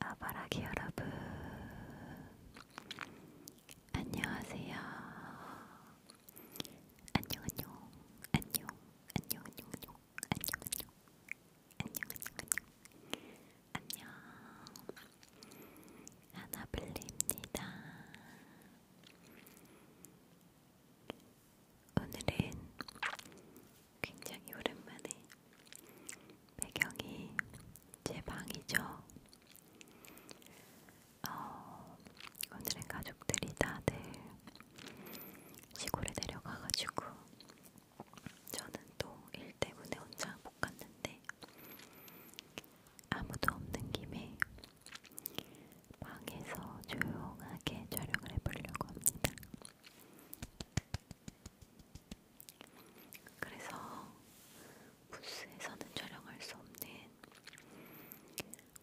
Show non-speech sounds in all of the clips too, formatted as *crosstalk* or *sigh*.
아바라기 여러분, 안녕하세요. 안녕, 안녕, 안녕, 안녕, 안녕, 안녕, 안녕, 안녕, 안녕, 안녕, 하나블리입니다. 오늘은 굉장히 오랜만에 배경이 제 방이죠. 어, 오늘의 가족들이 다들 시골에 내려가가지고 저는 또 일 때문에 혼자 못 갔는데 아무도 없는 김에 방에서 조용하게 촬영을 해보려고 합니다. 그래서 부스에서는 촬영할 수 없는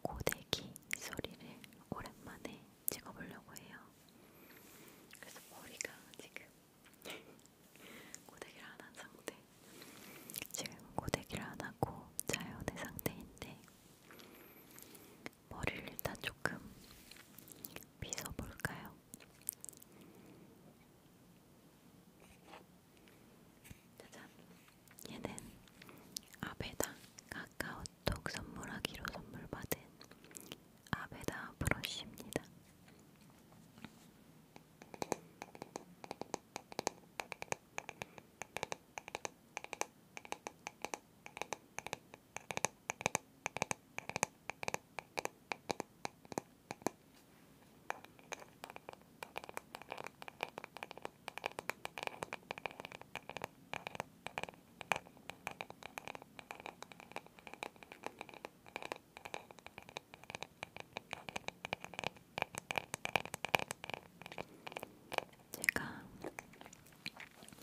고데기 소리를 오랜만에 찍어보려고 해요. 그래서 머리가 지금 고데기를 안 한 상태. 지금 고데기를 안 하고 자연의 상태인데 머리를 일단 조금 빗어볼까요? 짜잔! 얘는 아베다 카카오톡 선물하기로 선물받은 아베다 브러쉬입니다. 제가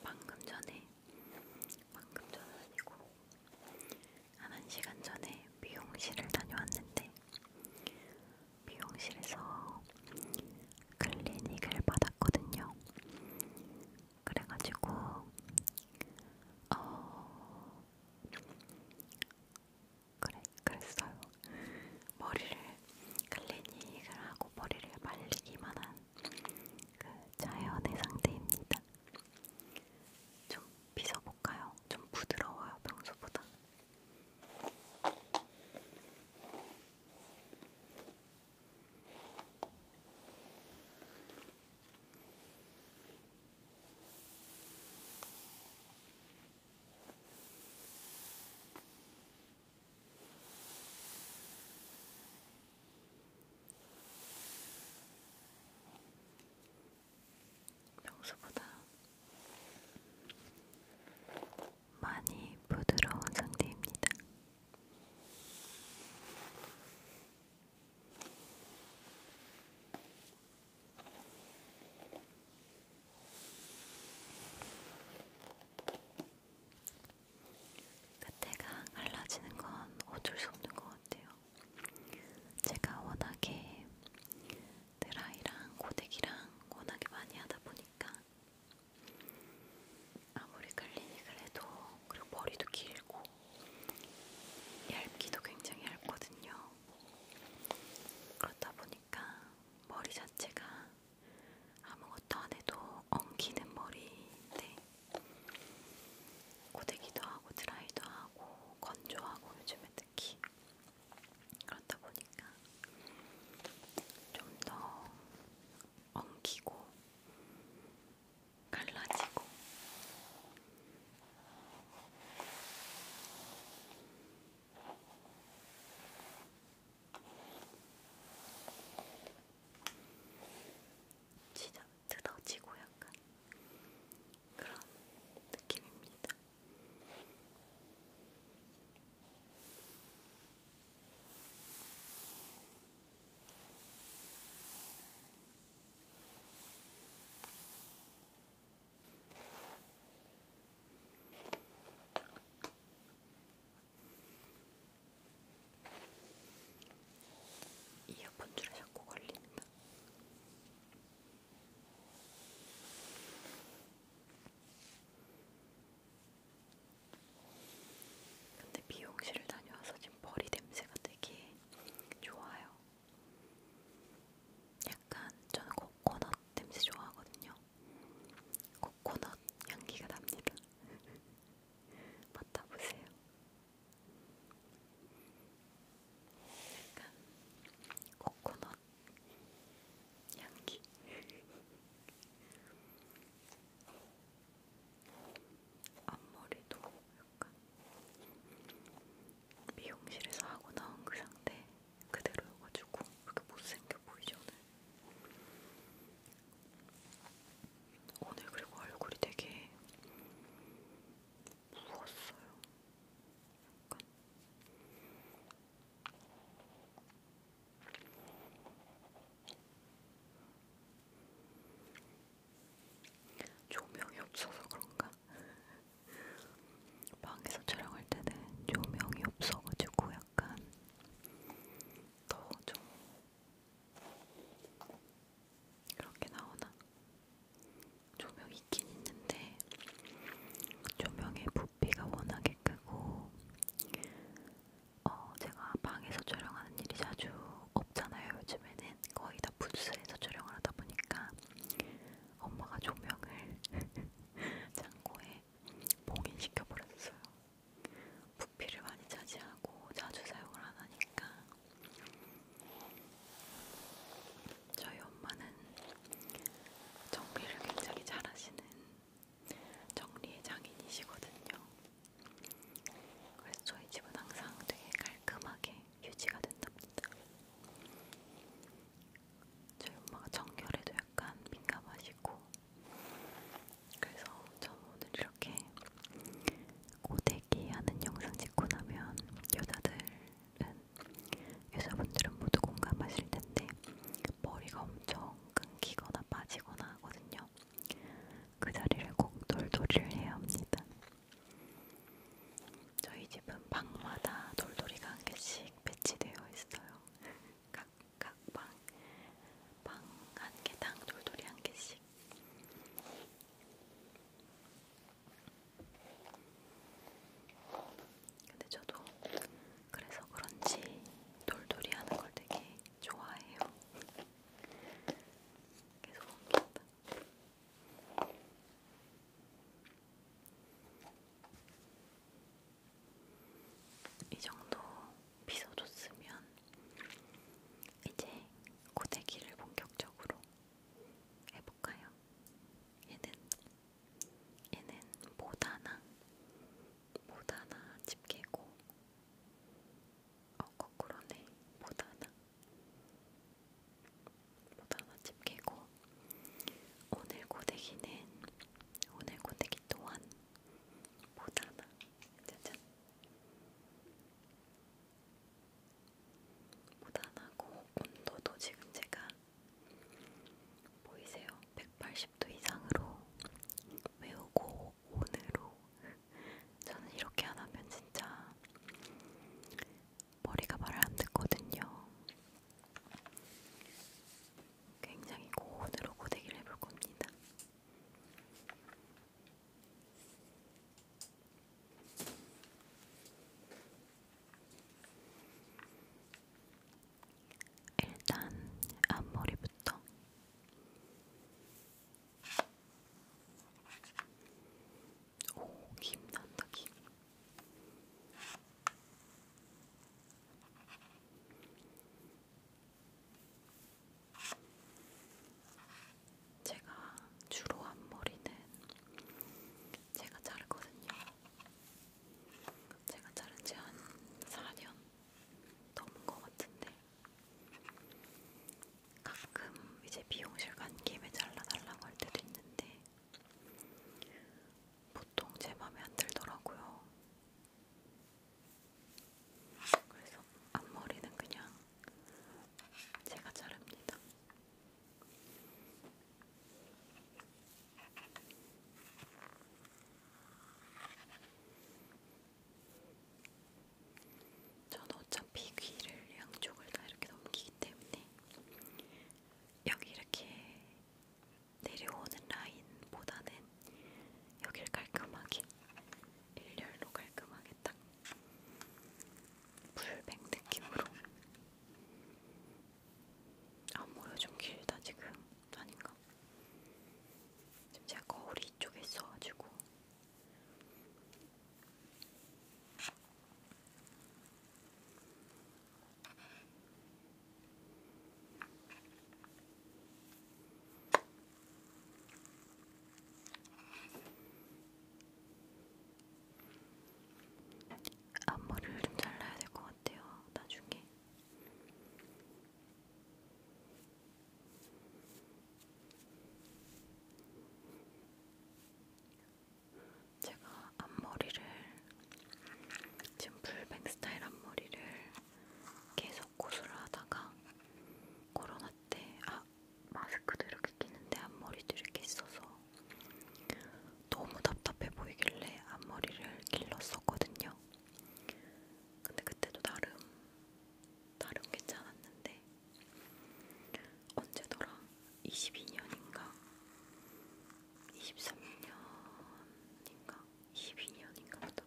방금 전에 방금 전 아니고 한 1시간 전에 미용실을 다녀왔는데 미용실에서 클리닉을 받았거든요. 그래가지고 어 그래 그랬어요. 머리를 클리닉을 하고 머리를 말리기만 한 그 자연의 상태입니다. 좀 빗어볼까요? 좀 부드러워요, 평소보다. 평소보다 많이 부드러운 상태입니다. 끝에가 갈라지는 건 어쩔 수 없는 것 같아요. 제가 워낙에 드라이랑 고데기랑 워낙에 많이 하다 보니까 아무리 클리닉을 해도 그리고 머리도 길고 얇기도 굉장히 얇거든요. 그렇다 보니까 머리 자체가 아무것도 안 해도 엉키는 머리인데 고데기도 하고 드라이도 하고 건조하고 요즘에 특히 그렇다 보니까 좀 더 엉키고 갈라지고 진짜 뜯어지고 약간 그런 느낌입니다. 이어폰 줄에 자꾸 걸린다. 근데 미용실을 다녀와서 지금 머리 냄새가 되게 좋아요. 약간 저는 코코넛 냄새 좋아하거든요. 코코넛 향기가 납니다. *laughs* 맡아보세요. 약간 코코넛 향기. 앞머리도 약간 미용실에서 하고 나온 그 상태 그대로여가지고 그렇게 못생겨 보이죠 오늘 오늘 그리고 얼굴이 되게 부었어요. 약간. 조명이 없어서 그런가? *laughs* 방에서 촬영할 때는 조명이 없어가지고 약간 더좀 그렇게 나오나? 조명이 있긴 있는데 조명의 부피가 워낙에 크고 어, 제가 방에서 촬영하는 일이 자주 없잖아요. 요즘에는 거의 다 부스에서 촬영을 하다 보니까 엄마가 조명을 *laughs* 창고에 봉인시켜 버렸어요. 부피를 많이 차지하고 자주 사용을 안 하니까 저희 엄마는 정리를 굉장히 잘하시는 정리의 장인이시거든요. 그래서 저희 집은 항상 되게 깔끔하게 유지가 된답니다. 저희 엄마가 정결에도 약간 민감하시고 그래서 저 오늘 이렇게 고데기 하는 영상 찍고 나면 여자들은 여자분들은 모두 공감하실 텐데 머리가 엄청 끊기거나 빠지거나 하거든요. 그 자리를 꼭 돌돌이를 해야 합니다. 저희 집은 방마다 돌돌이가 한 개씩 배치되어 있어요. 각각 *laughs* 방, 방 한 개당 돌돌이 한 개씩. 하나씩. 근데 저도 그래서 그런지 돌돌이 하는 걸 되게 좋아해요. 계속 옮긴다. 이 정도 빗어줬으면 이제 고데기를 본격적으로 해볼까요? 얘는 얘는 모다나 모다나 집게고 어 거꾸로네 모다나 모다나 집게고 오늘 고데기는 오늘 고데기 또한 모다나 짜잔. 무단하고 온도도 지금 제가 보이세요? 180도 이상으로 외우고 온으로 저는 이렇게 안 하면 진짜 머리가 말을 안 듣거든요. 굉장히 고온으로 고데기를 해볼 겁니다. 일단 앞머리부터 오, 김 난다, 김. 제가 주로 한 머리는 제가 자르거든요. 제가 자른 지한 4년 넘은 것 같은데 가끔 이제 미용실 간 김에 잘라달라고 할 때도 있는데 보통 제 맘에 안 들더라고요. 그래서 앞머리는 그냥 제가 자릅니다. 저는 어차피 귀를 양쪽을 다 이렇게 넘기기 때문에 여기 이렇게 내려오는 라인보다는 여길 깔끔하게 일렬로 깔끔하게 딱 풀백 느낌으로. 앞머리가 좀 길다 지금 아닌가? 지금 제가 거울이 이쪽에 있어가지고 앞머리를 좀 잘라야 될 것 같아요. 나중에. 제가 앞머리를 지금 풀뱅 스타일 앞머리를 계속 고수를 하다가 코로나 때, 아 마스크도 이렇게 끼는데 앞머리도 이렇게 있어서 너무 답답해 보이길래 앞머리를 길렀었거든요. 근데 그때도 나름 나름 괜찮았는데 언제더라? 22년인가? 23년인가? 22년인가 보다.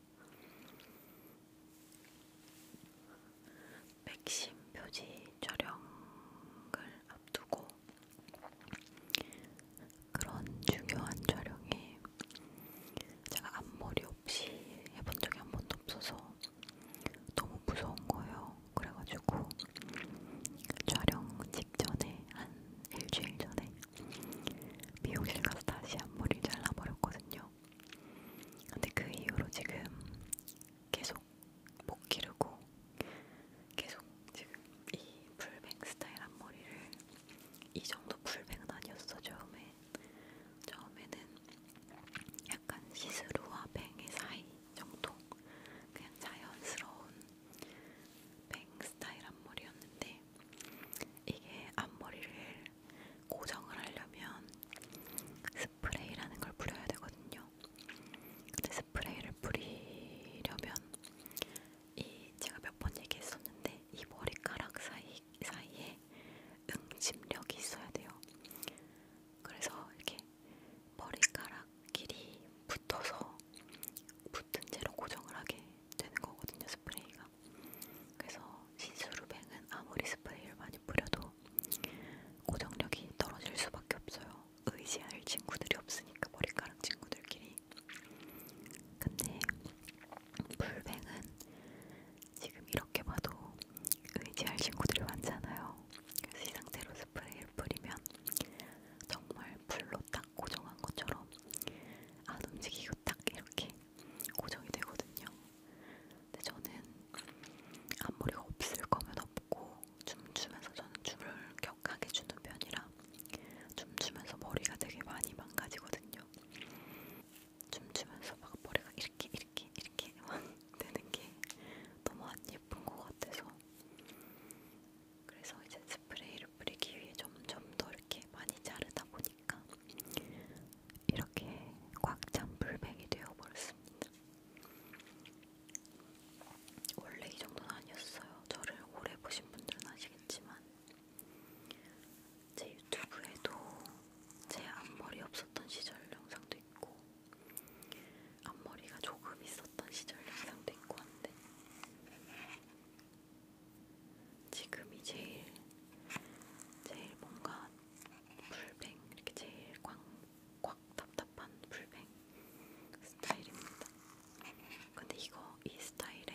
백신 표지 촬영을 앞두고 그런 중요한 촬영에 제가 앞머리 없이 해본 적이 한 번도 없어서 너무 무서운 거예요. 그래가지고 촬영 직전에 한 일주일 전에 미용실 가서 다시 앞머리 잘라버렸거든요. 했어요. 근데 그 이후로 지금 계속 못 기르고 계속 지금 이 풀뱅 스타일 앞머리를 이 정도 풀뱅은 아니었어 처음에 처음에는 약간 시스루와 뱅의 사이 정도 그냥 자연스러운 뱅 스타일 앞머리였는데 이게 앞머리를 고정을 하려면 스프레이라는 걸 뿌려야 되거든요. 근데 스프레이를 뿌리려면 이 제가 몇 번 얘기했었는데 이 머리카락 사이 사이에 응집력이 있어야 돼요. 그래서 이렇게 머리카락 길이 붙어서 붙은 채로 고정을 하게 되는 거거든요 스프레이가. 그래서 시스루뱅은 아무리 스프레이를 많이 뿌려도 고정력이 떨어질 수밖에 없어요. 의지할 친구들이 없으니까 머리카락 친구들끼리. 근데 불뱅은 지금 이렇게 봐도 의지할 친구들이 많잖아요. 그래서 이 상태로 스프레이를 뿌리면 정말 불로 딱 고정한 것처럼 안 움직이고 딱 이렇게 고정이 되거든요. 근데 저는 앞머리가 없을 거면 없고 춤추면서 저는 춤을 격하게 주는 편이라 춤추면서 머리가 되게 많이 망가지거든요. 춤추면서 막 머리가 이렇게 이렇게 이렇게 막 *laughs* 되는 게 너무 안 예쁜 것 같아서 그래서 이제 스프레이를 뿌리기 위해 점점 더 이렇게 많이 자르다 보니 하니까 이렇게 꽉찬 물백이 되어버렸습니다. 원래 이 정도는 아니었어요. 저를 오래 보신 분들은 아시겠지만 제 유튜브에도 제 앞머리 없었던 시절 영상도 있고 앞머리가 조금 있었던 시절 영상도 있고 한데 지금이 제일 제일 뭔가 풀뱅 이렇게 제일 꽉, 꽉 답답한 풀뱅 스타일입니다. 근데 이거 이 스타일의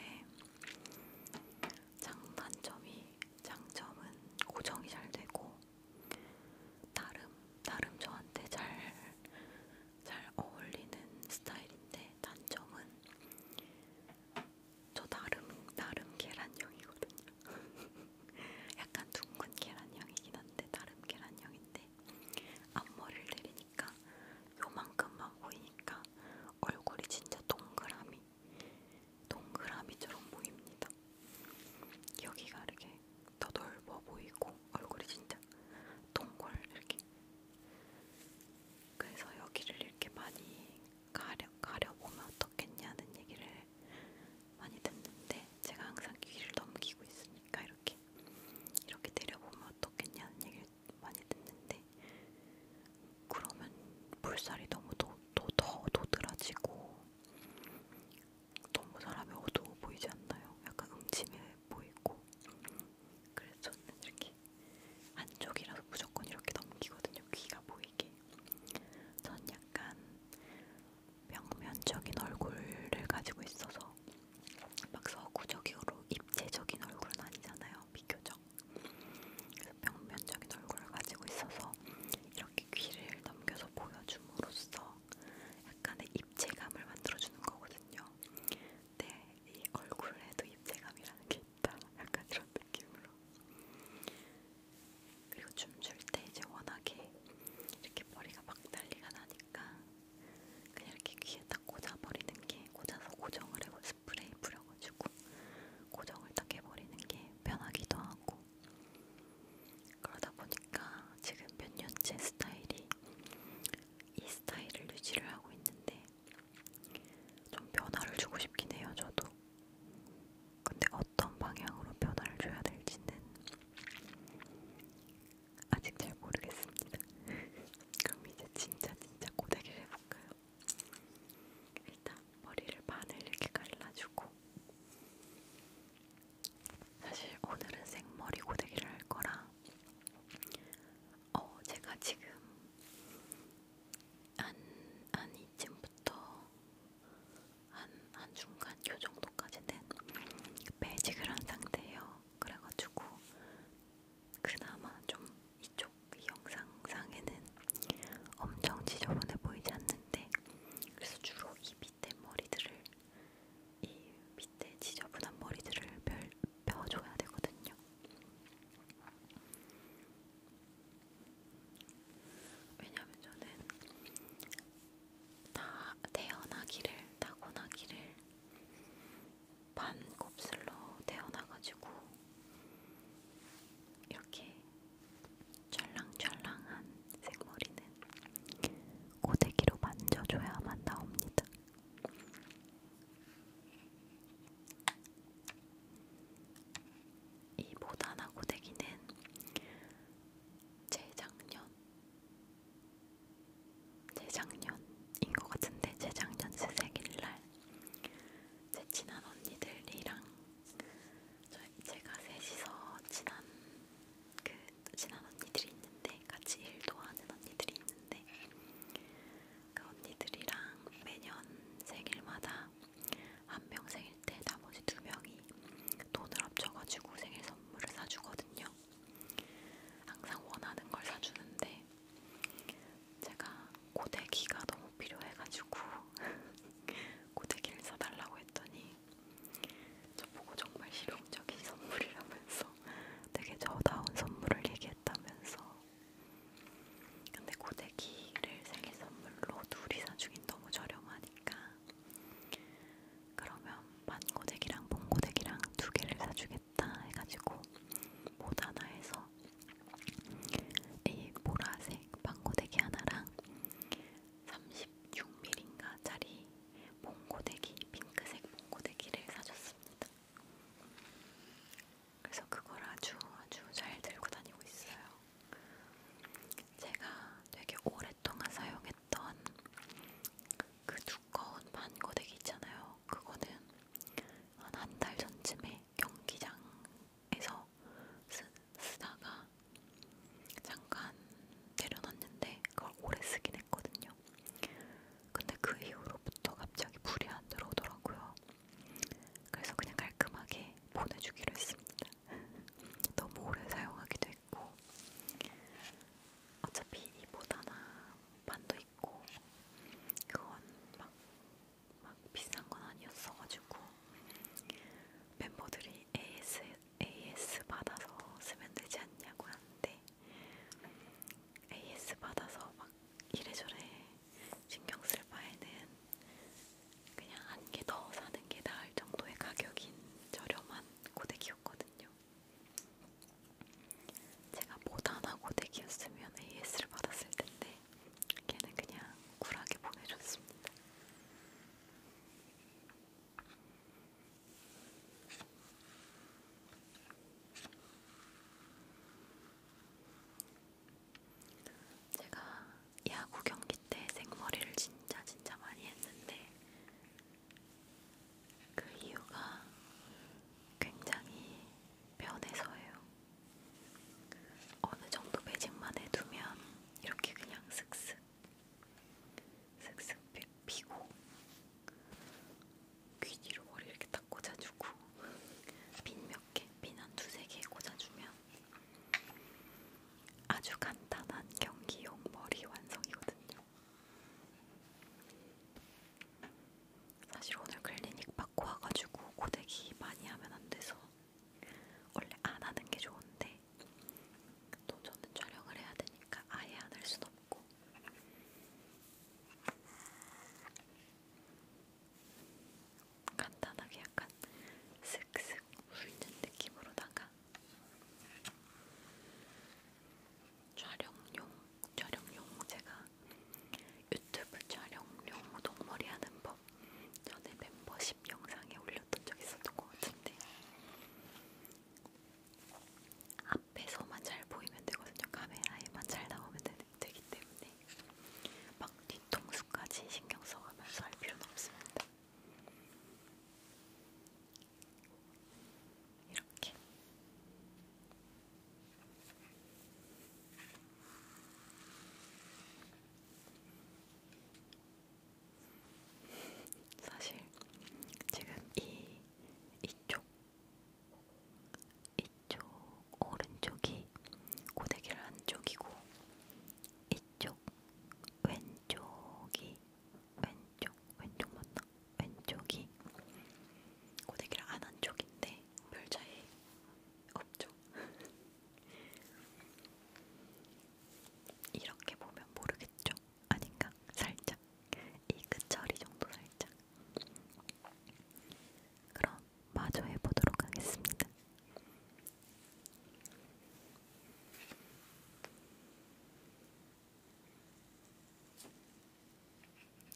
장단점이 장점은 고정이 잘 되고 나름 나름 저한테 잘 잘 어울리는 스타일인데 단점은 저 나름 나름 계란형이거든요. *laughs* 약간 둥근 계란형이긴 한데 나름 계란형인데 앞머리를 내리니까 요만큼만 보이니까 얼굴이 진짜 동그라미 동그라미처럼 보입니다. 여기가 이렇게 더 넓어 보이고 얼굴이 진짜 동골 이렇게 그래서 여기를 이렇게 많이 가려, 가려보면 어떻겠냐는 얘기를 많이 듣는데 제가 항상 귀를 넘기고 있으니까 이렇게 이렇게 내려보면 어떻겠냐는 얘기를 많이 듣는데 그러면 볼살이 너무 더, 더, 더 도드라지고 너무 사람이 어두워 보이지 않나요? 약간 음침해 보이고 그래서 저는 이렇게 안쪽이라서 무조건 이렇게 넘기거든요. 귀가 보이게. 전 약간 평면적인 얼굴을 가지고 있어서 막 서구적으로 입체적인 얼굴은 아니잖아요. 비교적. 그래서 평면적인 얼굴을 가지고 있어서 이렇게 귀를 넘겨서 보여줌으로써 약간의 입체감을 만들어주는 거거든요. 네, 이 얼굴에도 입체감이라는 게 있다. 약간 이런 느낌으로. 그리고 춤출 때 이제 워낙에 이렇게 머리가 막 난리가 나니까 그냥 이렇게 귀에 딱 꽂아버리는 게 꽂아서 고정을 하고 스프레이 뿌려가지고 고정을 딱 해버리는 게 편하기도 하고 그러다 보니까 지금 몇 년째 스타일이 이 스타일을 유지를 하고 있는데 좀 변화를 주고 싶긴 해요 저도 근데 어떤 방향으로 변화를 줘야 될지는 아직 잘 모르겠습니다. *laughs* 그럼 이제 진짜 진짜 고데기를 해볼까요? 일단 머리를 반을 이렇게 갈라주고 사실 오늘은 생머리 고데기를 할 거라 어 제가 지금 한, 한 이쯤부터 한, 한 중간 요 정도까지는 매지그란 상태예요. 그래가지고 그나마 좀 이쪽 영상상에는 엄청 지저분해 보이지 않는데 그래서 주로 이 밑에 머리들을 이 밑에 지저분한 머리들을 별 펴줘야 되거든요. 왜냐면 저는 다 태어나기를, 타고나기를 반 곱슬로 태어나가지고 이렇게 쫄랑쫄랑한 생머리는 고데기로 만져줘야만 나옵니다. 이 모나나 고데기는 재작년, 재작년인 것 같은데 재작년 새생일날 제 친한 언니들이랑 저, 제가 셋이서 친한 그 친한 언니들이 있는데 같이 일도 하는 언니들이 있는데 그 언니들이랑 매년 생일마다 한명 생일 때 나머지 두 명이 돈을 합쳐가지고 생일 선물을 사주거든요. 항상 원하는 걸 사주는데 제가 고데기가 너무 필요해가지고 *laughs* 고데기를 사달라고 했더니 저보고 정말 실용적인 선물이라면서 되게 저다운 선물을 얘기했다면서 근데 고데기 쓰레기를 생일 선물로 둘이 사주긴 너무 저렴하니까 그러면 반고데기랑 봉고데기랑 두 개를 사주겠다 해가지고 못 하나 해서 이 보라색 반고데기 하나랑 36mm인가 짜리 봉고데기 핑크색 봉고데기를 사줬습니다. 그래서 그걸 아주 아주 잘 들고 다니고 있어요. 제가 되게 오랫동안 사용했던 그 두꺼운 반고데기 있잖아요. 그거는 한한달 전쯤에 경기장에서 쓰, 쓰다가 잠깐 내려놨는데 그걸 오래 쓰긴 했거든요. 근데 그 이후로부터 갑자기 불이 안 들어오더라고요. 그래서 그냥 깔끔하게 보내주기로 했습니다. *laughs* 너무 오래 사용하기도 했고 어차피 이보다 나 반도 있고 그건 막, 막 비싼 건 아니었어가지고 멤버들이 AS, AS 받아서 쓰면 되지 않냐고 하는데 AS 받아서 막 이래저래 신경 쓸 바에는 그냥 한 개 더 사는 게 나을 정도의 가격인 저렴한 고데기였거든요. 제가 모단화 고데기였으면 AS를 받았을 텐데 걔는 그냥 쿨하게 보내줬습니다. 제가 야구 경기 때 생머리를 진짜 진짜 많이 했는데 그 이유가 굉장히 변해서예요. 어느 정도 매직만 해두면 이렇게 그냥 슥슥 슥슥 피고 귀 뒤로 머리 이렇게 딱 꽂아주고 핀몇 개, 핀한 두세 개 꽂아주면 아주 간단한 경기용 머리 완성이거든요. 사실 오늘 클리닉 받고 와가지고 고데기 많이 하면 안 돼서 원래 안 하는 게 좋은데 또 저는 촬영을 해야 되니까 아예 안할 순 없고 간단하게 약간 슥슥 훑는 느낌으로다가 촬영용, 촬영용 제가 유튜브 촬영용 동머리 하는 법 전에 멤버십 영상에 올렸던 적 있었던 것 같은데 앞에서만 잘 보이면 되거든요. 카메라에만 잘 나오면 되기 때문에 막막 뒤통수까지 신경 써가면서 할 필요는 없습니다. 이렇게 사실 지금 이 이쪽 이쪽 오른쪽이 고데기를 한 쪽이고. 이쪽 왼쪽이 왼쪽 왼쪽 맞나? 왼쪽이 고데기를 안 한 쪽인데 별 차이 없죠. *laughs* 이렇게 보면 모르겠죠? 아닌가? 살짝 이 끝처리 정도 살짝. 그럼 마저 해보도록 하겠습니다.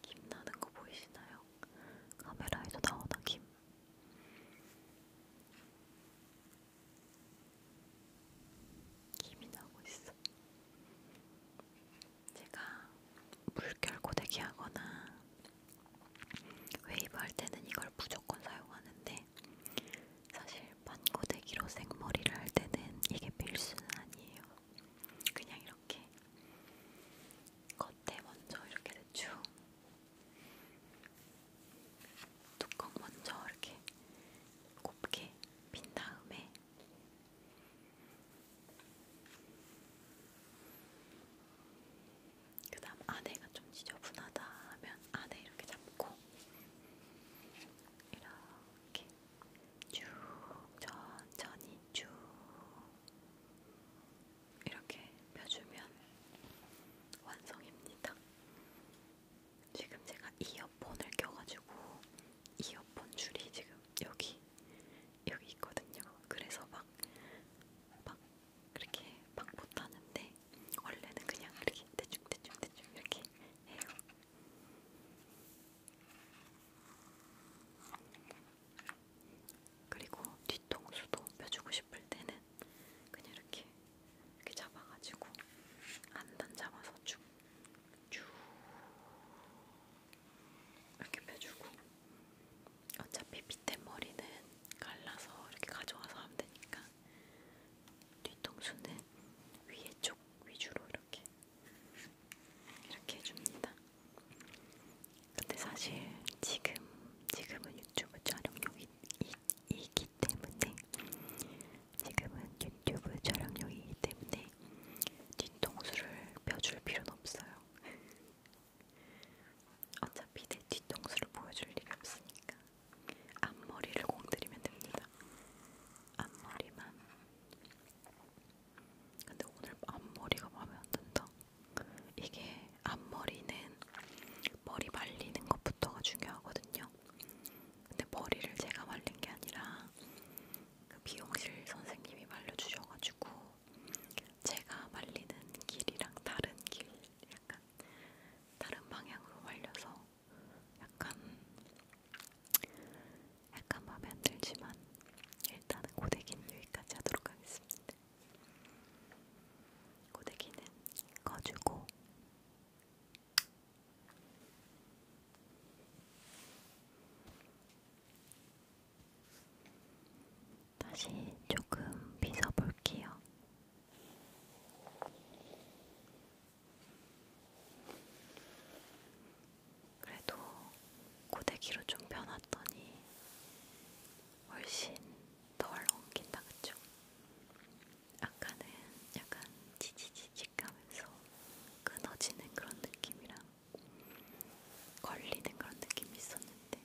김 나는 거 보이시나요? 카메라에서 나오는 김. 김이 나고 있어. 제가 물결 고데기 하거나 웨이브 할 때는 이걸 무조건 사용하는데 사실 반고데기로 생머리를 할 때는 이게 필수는 아니에요. 그냥 이렇게 겉에 먼저 이렇게 대충 뚜껑 먼저 이렇게 곱게 빈 다음에 그 다음 안에가 좀 지저분하다 하면 안에 이렇게 잡고 이렇게 쭉 천천히 쭉 이렇게 펴주면 완성입니다. 지금 제가 이어폰을 껴가지고 이어폰 줄이 지금 여기 여기 있거든요. 그래서 막막 그렇게 막 못하는데 원래는 그냥 이렇게 대충 대충 대충 이렇게 해요. 그리고 뒤통수도 펴주고 싶을 때는 그냥 이렇게 이렇게 잡아가지고 안단 잡아서 쭉 쭉 이렇게 펴주고 어차피 밑에 머리는 갈라서 이렇게 가져와서 하면 되니까 뒤통수는 위에 쪽 위주로 이렇게 이렇게 해줍니다. 근데 사실 지금 지금은 유튜브 촬영용이 이, 이기 때문에 지금은 유튜브 촬영용이기 때문에 뒤통수를 펴줄 필요는 없어요. 어차피 내 뒤통수를 보여줄 일이 없으니까 앞머리를 공들이면 됩니다. 앞머리만. 근데 오늘 앞머리가 마음에 안 든다. 이게 앞머리는 머리 말리는 것부터가 중요하거든요. 근데 머리를 제가 말린 게 아니라 그 미용실 선생님이 말려주셔가지고 제가 말리는 길이랑 다른 길 약간 다른 방향으로 말려서 약간 약간 마음에 안 들지만 일단은 고데기는 여기까지 하도록 하겠습니다. 고데기는 꺼주고 다시 조금 빗어볼게요. 그래도 고데기로 좀 변했더니 훨씬 덜 엉킨다, 그쵸? 아까는 약간 지지직직하면서 끊어지는 그런 느낌이랑 걸리는 그런 느낌이 있었는데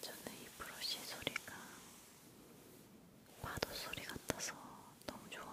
저는 이 브러쉬 소리가 파도 소리 같아서 너무 좋아요.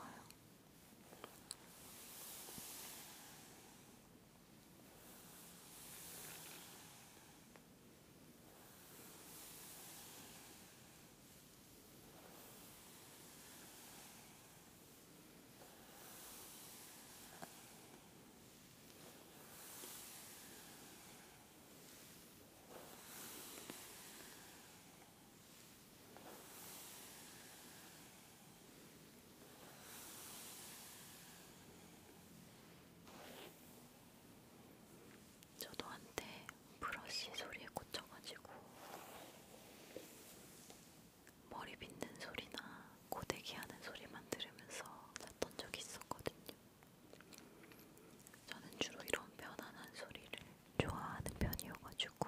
저도 한때 브러쉬 소리에 꽂혀가지고 머리 빗는 소리나 고데기 하는 소리만 들으면서 잤던 적이 있었거든요. 저는 주로 이런 편안한 소리를 좋아하는 편이어가지고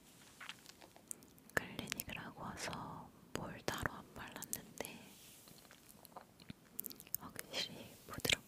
클리닉을 하고 와서 뭘 따로 안 발랐는데 확실히 부드럽다.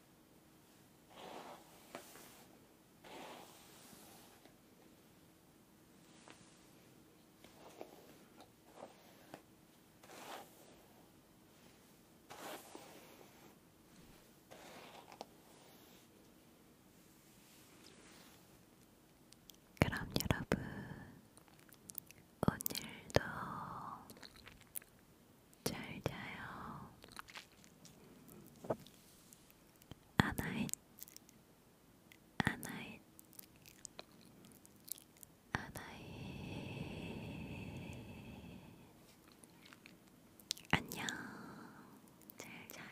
그럼 여러분, 오늘도 잘 자요. 아나잇, 아나잇, 아나잇. 안녕. 잘 자요.